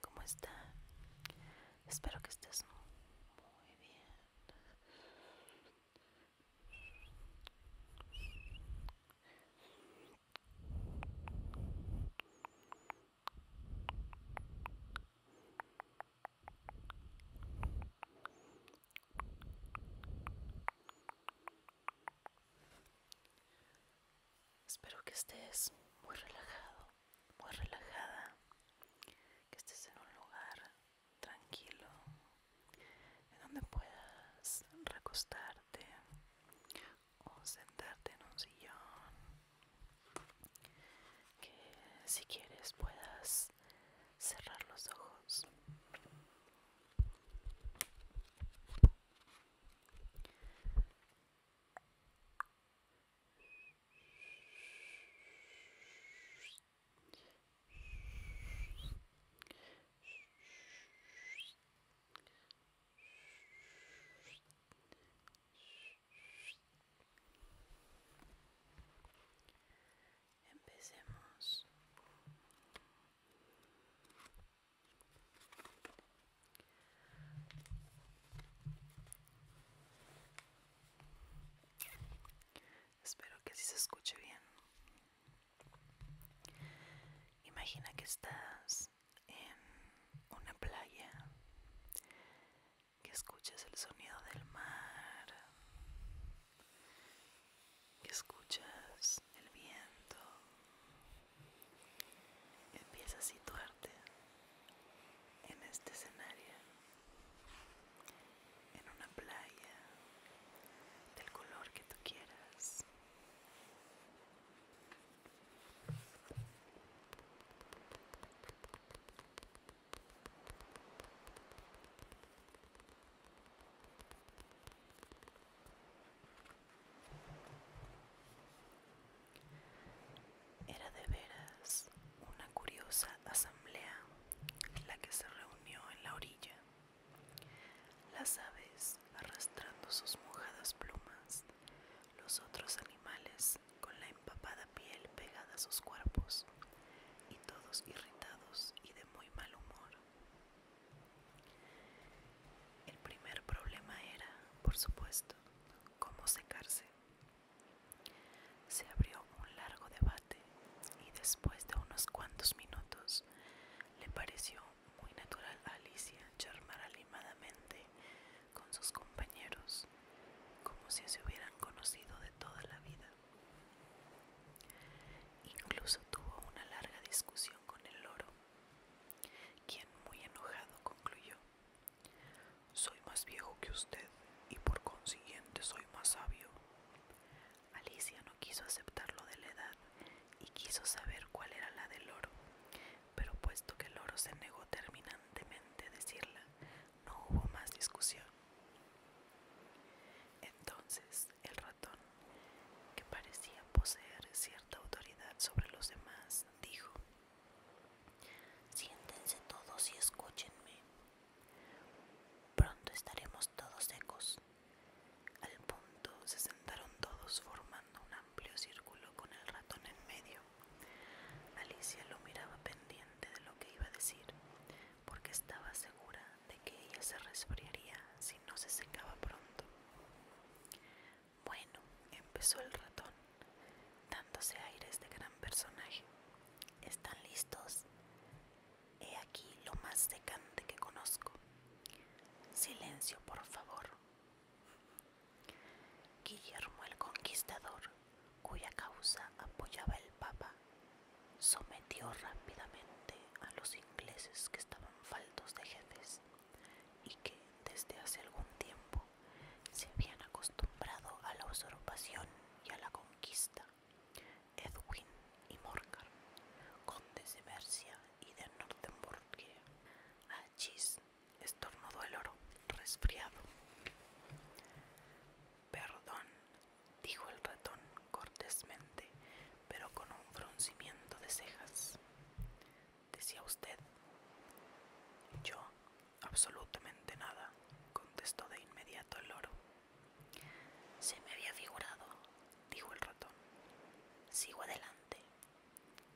¿Cómo está? Espero que estés muy bien. Espero que estés muy relajado, muy relajada, que estés en un lugar tranquilo, en donde puedas recostarte o sentarte en un sillón, que si quieres puedas cerrar los ojos. Empecemos Espero que sí se escuche bien. Imagina que estás en una playa, que escuchas el sonido del mar, que escuchas el viento, Empieza a situarte en este escenario, en una playa del color que tú quieras. Era de veras una curiosa asamblea la que se reunió en la orilla. Las aves arrastrando sus mojadas plumas, los otros animales con la empapada piel pegada a sus cuerpos, y todos irritados y de muy mal humor. El primer problema era, por supuesto, cómo secarse. Se abrió un largo debate y después de unos cuantos minutos le pareció muy natural a Alicia charmar animadamente con sus compañeros como si se hubieran conocido de toda la vida. Incluso tuvo una larga discusión con el loro, quien muy enojado concluyó soy más viejo que usted y por consiguiente soy más sabio. Alicia no quiso aceptar lo de la edad y quiso saber cuál era la del oro, pero puesto que el oro se negó terminantemente a decirla, no hubo más discusión. Entonces el ratón, que parecía poseer cierta autoridad sobre los demás, dijo, Siéntense todos y escúchenme. Pronto estaremos todos secos. Al punto se sentaron todos formando un amplio círculo con el ratón en medio. Alicia lo miraba pendiente de lo que iba a decir, porque estaba segura de que ella se resfriaría si no se secaba pronto. Bueno, empezó el ratón, dándose aires de gran personaje. ¿Están listos? He aquí lo más decante que conozco. Silencio, por favor. Guillermo el Conquistador, cuya causa apoyaba el Papa, sometió rápidamente a los ingleses que estaban faltos de jefes y que desde hace algún tiempo se habían acostumbrado a la usurpación y a la conquista. Edwin y Morcar, condes de Mercia y de Northumbria, Achis estornudó el oro, resfriado. Perdón, dijo el ratón cortésmente, pero con un fruncimiento de cejas decía usted. Yo, absolutamente nada, contestó de inmediato el loro. Se me había figurado, dijo el ratón. Sigo adelante.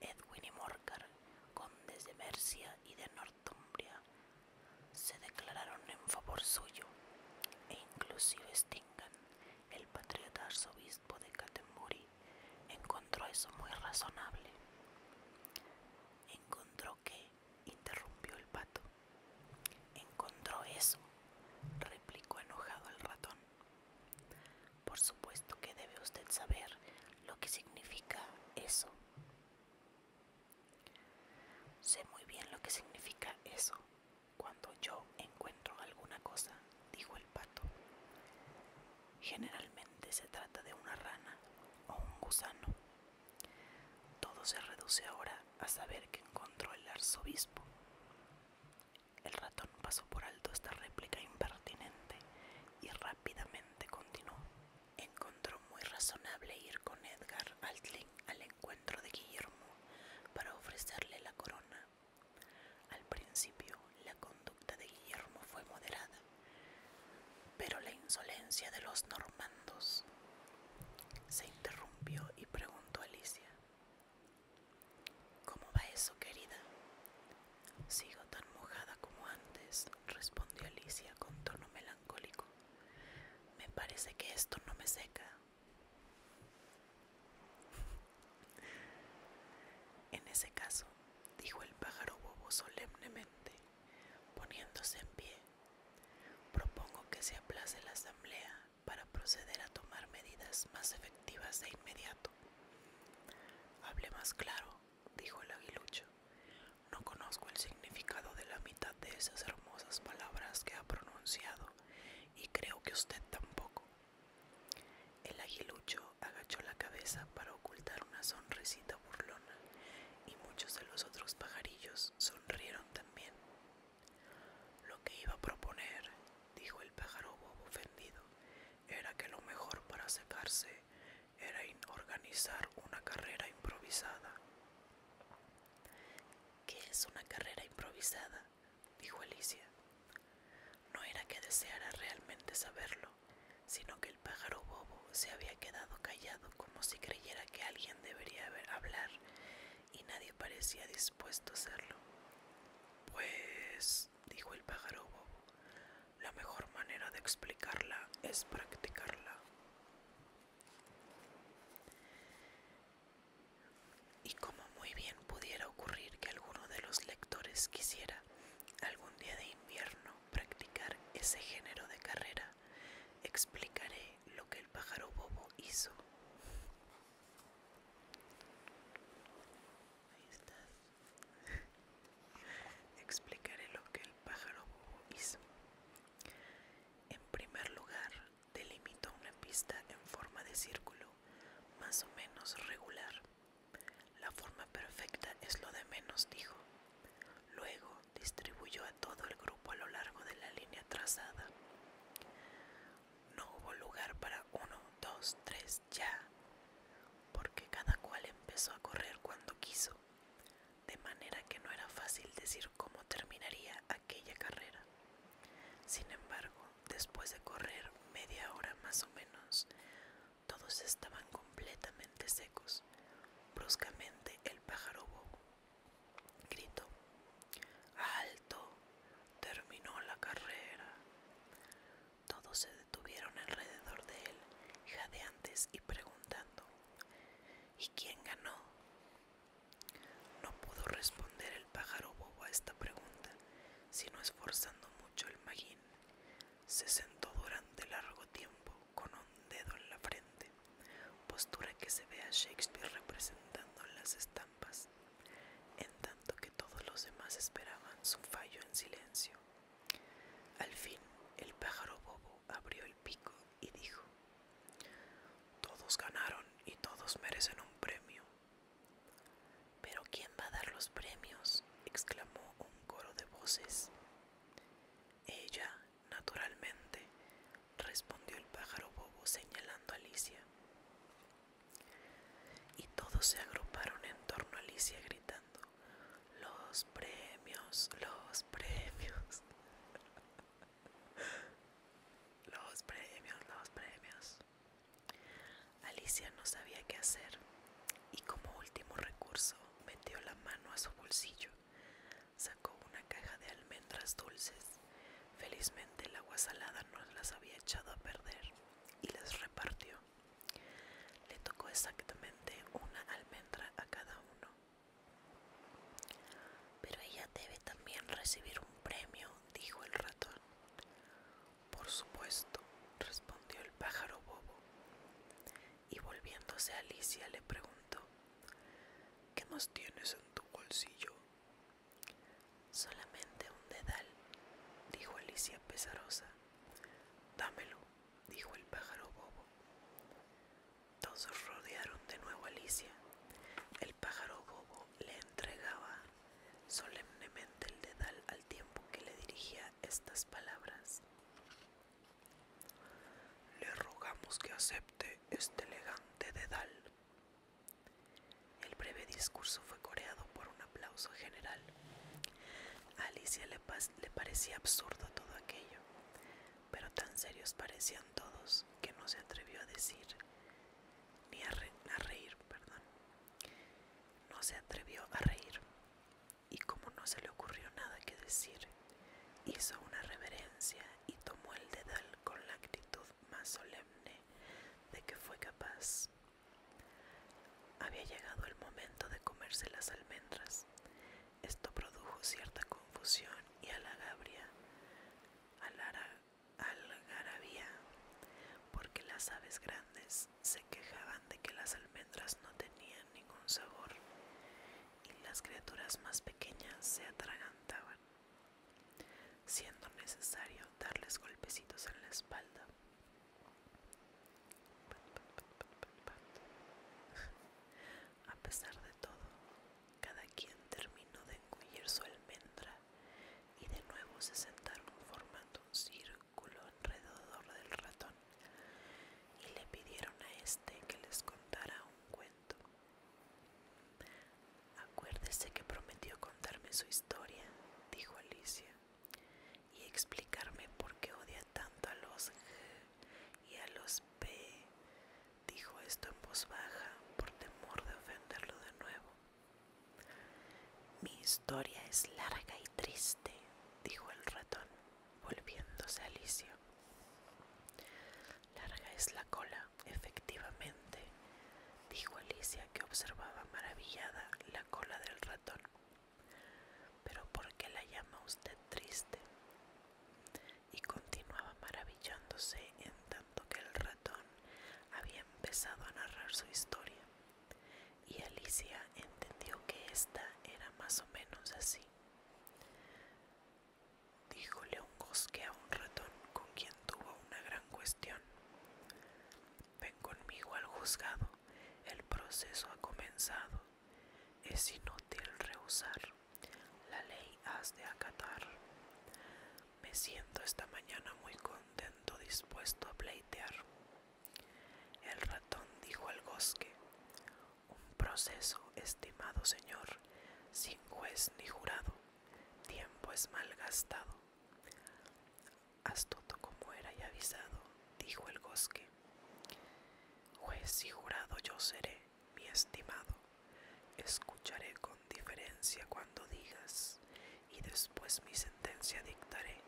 Edwin y Morcar, condes de Mercia y de Northumbria, se declararon en favor suyo, e inclusive Stingan, el patriota arzobispo de Catemuri, encontró eso muy razonable. Encontró que, interrumpió el pato. Encontró eso, replicó enojado el ratón. Por supuesto que debe usted saber lo que significa eso. Sé muy bien lo que significa eso. Cuando yo encuentro alguna cosa, dijo el pato. Generalmente se trata de una rana o un gusano. Todo se reduce ahora a saber que encontró el arzobispo. El ratón pasó por alto esta réplica impertinente y rápidamente continuó. Encontró muy razonable ir con Edgar Altling al encuentro de Guillermo para ofrecerle la corona. Al principio, la conducta de Guillermo fue moderada, pero la insolencia de los normandos se interrumpió y preguntó a Alicia. ¿Cómo va eso, querida? Sigo tan mojada como antes, respondió Alicia con tono melancólico. Me parece que esto no me seca. En ese caso, dijo el pájaro bobo solemnemente, Poniéndose en pie, propongo que se aplace la asamblea para proceder a tomar medidas más efectivas de inmediato. Hable más claro, dijo el aguilucho. No conozco el significado de la mitad de esas hermosas palabras que ha pronunciado y creo que usted tampoco. El aguilucho agachó la cabeza para ocultar una sonrisita burlona y muchos de los otros pajarillos sonrieron también. Lo que iba a proponer, dijo el pájaro bobo ofendido, era que lo mejor para secarse era organizar una carrera improvisada. ¿Qué es una carrera improvisada? dijo Alicia. No era que deseara realmente saberlo, sino que el pájaro bobo se había quedado callado como si creyera que alguien debería hablar y nadie parecía dispuesto a hacerlo. Pues, dijo el pájaro bobo, la mejor manera de explicarla es practicarla. Y como muy bien pudiera ocurrir que alguno de los lectores quisiera algún día de invierno practicar ese género de carrera, explicaré lo que el pájaro bobo hizo. Explicaré lo que el pájaro bobo hizo. En primer lugar, delimitó una pista en forma de círculo, más o menos regular. La forma perfecta es lo de menos, dijo. Luego distribuyó a todo el grupo a lo largo de la línea trazada. No hubo lugar para uno, dos, tres, ya, porque cada cual empezó a correr cuando quiso, de manera que no era fácil decir cómo terminaría aquella carrera. Sin embargo, después de correr media hora más o menos, todos estaban completamente secos Bruscamente el pájaro bobo gritó. ¡Alto! Terminó la carrera. Todos se detuvieron alrededor de él, jadeantes y preguntando. ¿Y quién ganó? No pudo responder el pájaro bobo a esta pregunta, sino esforzando mucho el magín. Se sentó durante largo tiempo con un dedo en la frente, postura que se ve a Shakespeare representando en las estampas, en tanto que todos los demás esperaban su fallo en silencio. Al fin, el pájaro bobo abrió el pico y dijo, Todos ganaron y todos merecen un premio. Pero ¿quién va a dar los premios? exclamó un coro de voces. Ella, Naturalmente, respondió el pájaro bobo señalando a Alicia. Y todos se agruparon en torno a Alicia gritando, los premios, los premios. Los premios, los premios. Alicia no sabía qué hacer y como último recurso metió la mano a su bolsillo, sacó una caja de almendras dulces. Felizmente el agua salada no las había echado a perder y las repartió. Le tocó exactamente una almendra a cada uno. Pero ella debe también recibir un premio, dijo el ratón. Por supuesto, respondió el pájaro bobo y volviéndose a Alicia le preguntó ¿Qué más tienes en tu bolsillo? Solamente un dedal, dijo Alicia pesarosa. Dámelo, dijo el pájaro bobo. Todos rodearon de nuevo a Alicia. El pájaro bobo le entregaba solemnemente el dedal al tiempo que le dirigía estas palabras. Le rogamos que acepte este elegante dedal. El breve discurso fue coreado por un aplauso general. A Alicia le, parecía absurdo todo aquello, pero tan serios parecían todos que no se atrevió a decir, ni a reír, perdón. No se atrevió a reír, y como no se le ocurrió nada que decir, Hizo una reverencia y tomó el dedal con la actitud más solemne de que fue capaz. Había llegado el momento de comerse las almendras. Esto produjo cierta confusión y halagabria, algarabía, porque las aves grandes se quejaban de que las almendras no tenían ningún sabor y las criaturas más pequeñas se atragantaban, siendo necesario darles golpecitos en la espalda. A pesar de todo, cada quien terminó de engullir su almendra y de nuevo se sentaron formando un círculo alrededor del ratón y le pidieron a este que les contara un cuento. Acuérdese que prometió contarme su historia, dijo Alicia, y explicarme por qué odia tanto a los G y a los P. Dijo esto en voz baja por temor de ofenderlo de nuevo. Mi historia es larga y triste, dijo el ratón volviéndose a Alicia. Larga es la cola, efectivamente, dijo Alicia que observaba maravillada la cola del ratón. Pero ¿por qué la llama usted triste? Y continuaba maravillándose en tanto que el ratón había empezado a narrar su historia. Y Alicia entendió que ésta era más o menos así. Díjole un Gosque a un ratón con quien tuvo una gran cuestión. Ven conmigo al juzgado, el proceso ha comenzado. Es inútil rehusar, la ley has de acatar. Me siento esta mañana muy contento, dispuesto a pleitear. El ratón dijo al Gosque, un proceso, estimado señor, sin juez ni jurado, tiempo es malgastado. Astuto como era y avisado, dijo el bosque. Juez y jurado yo seré, mi estimado. Escucharé con diferencia cuando digas, y después mi sentencia dictaré.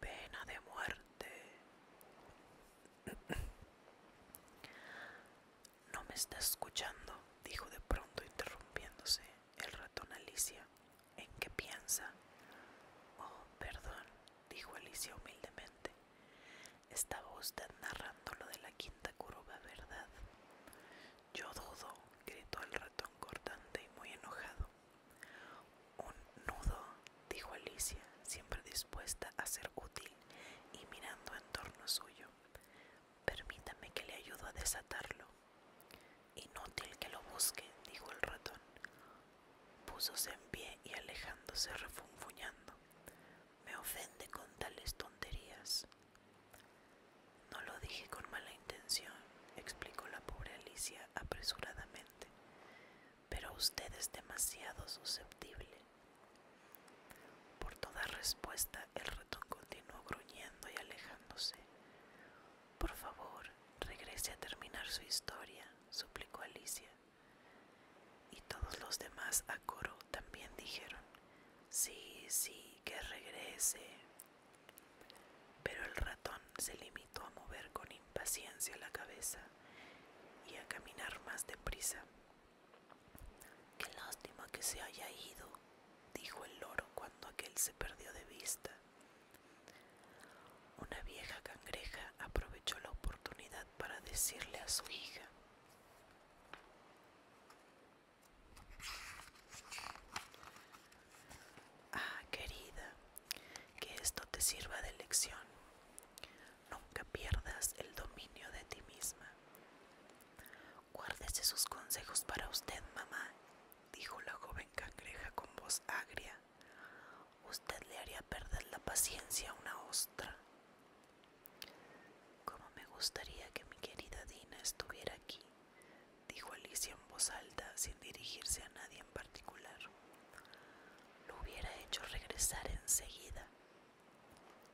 Pena de muerte. No me está escuchando, dijo de pronto interrumpiéndose el ratón Alicia. ¿En qué piensa? Oh, perdón, dijo Alicia humildemente. Estaba usted narrando lo de la quinta curva, ¿verdad? Yo dudo, gritó el ratón cortante y muy enojado. Un nudo, dijo Alicia, siempre dispuesta a ser útil y mirando en torno suyo. Permítame que le ayudo a desatarlo. Inútil que lo busque, dijo el ratón. Púsose en pie y alejándose refunfuñando. Me ofende con tales tonterías. No lo dije con mala intención, explicó la pobre Alicia apresuradamente. Pero usted es demasiado susceptible. Por toda respuesta, el ratón continuó gruñendo y alejándose. Por favor, regrese a terminar su historia, suplicó Alicia. Y todos los demás a coro también dijeron, sí, sí, que regrese. Pero el ratón se limitó a mover con impaciencia la cabeza y a caminar más deprisa. Qué lástima que se haya ido, dijo el loro cuando aquel se perdió de vista. Una vieja cangreja aprovechó la oportunidad para decirle a su hija, Ah, querida, que esto te sirva de lección nunca pierdas el dominio de ti misma. Guárdese sus consejos para usted, mamá, dijo la joven cangreja con voz agria. Usted le haría perder la paciencia a una ostra. Como me gustaría que mi querida Dina estuviera aquí, dijo Alicia en voz alta sin dirigirse a nadie en particular. Lo hubiera hecho regresar enseguida,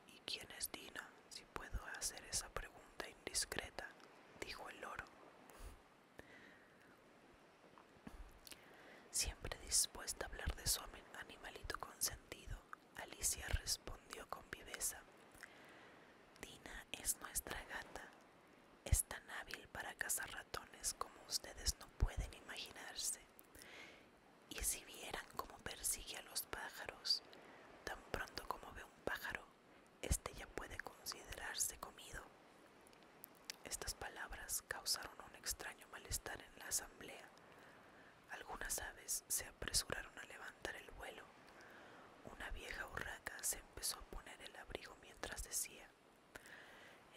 ¿Y quién es Dina? Si puedo hacer esa pregunta indiscreta, dijo el loro. Siempre dispuesta a hablar de su animalito consentido, Alicia respondió con viveza. Dina es nuestra gata. Es tan hábil para cazar ratones como ustedes no pueden imaginarse. Y si vieran cómo persigue a los pájaros, tan pronto como ve un pájaro, este ya puede considerarse comido. Estas palabras causaron un extraño malestar en la asamblea. Algunas aves se apresuraron a levantar el vuelo. Una vieja urraca se empezó a poner el abrigo mientras decía,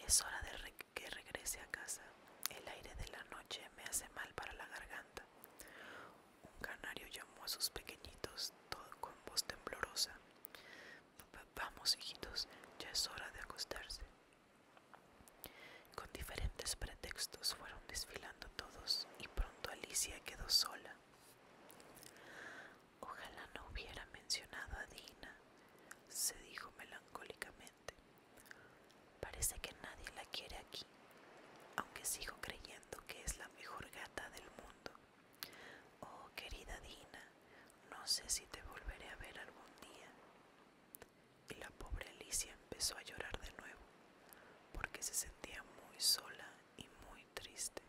es hora de que regrese a casa. El aire de la noche me hace mal para la garganta. Un canario llamó a sus pequeñitos todo con voz temblorosa. Vamos, hijitos, ya es hora de acostarse. Con diferentes pretextos fueron desfilando todos y pronto Alicia quedó sola. Ojalá no hubiera mencionado a Dina, se dijo melancólicamente. Parece que nadie la quiere aquí, aunque sigo creyendo que es la mejor gata del mundo. Oh, querida Dina, no sé si te volveré a ver algún día. Y la pobre Alicia empezó a llorar de nuevo, porque se sentía muy sola y muy triste.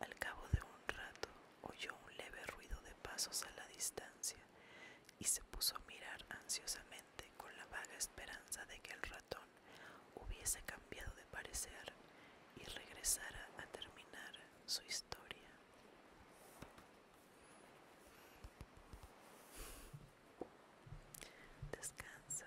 Al cabo de un rato oyó un leve ruido de pasos a la distancia y se puso a mirar ansiosamente con la vaga esperanza de que el ratón hubiese cambiado de parecer y regresara a terminar su historia. Descansa.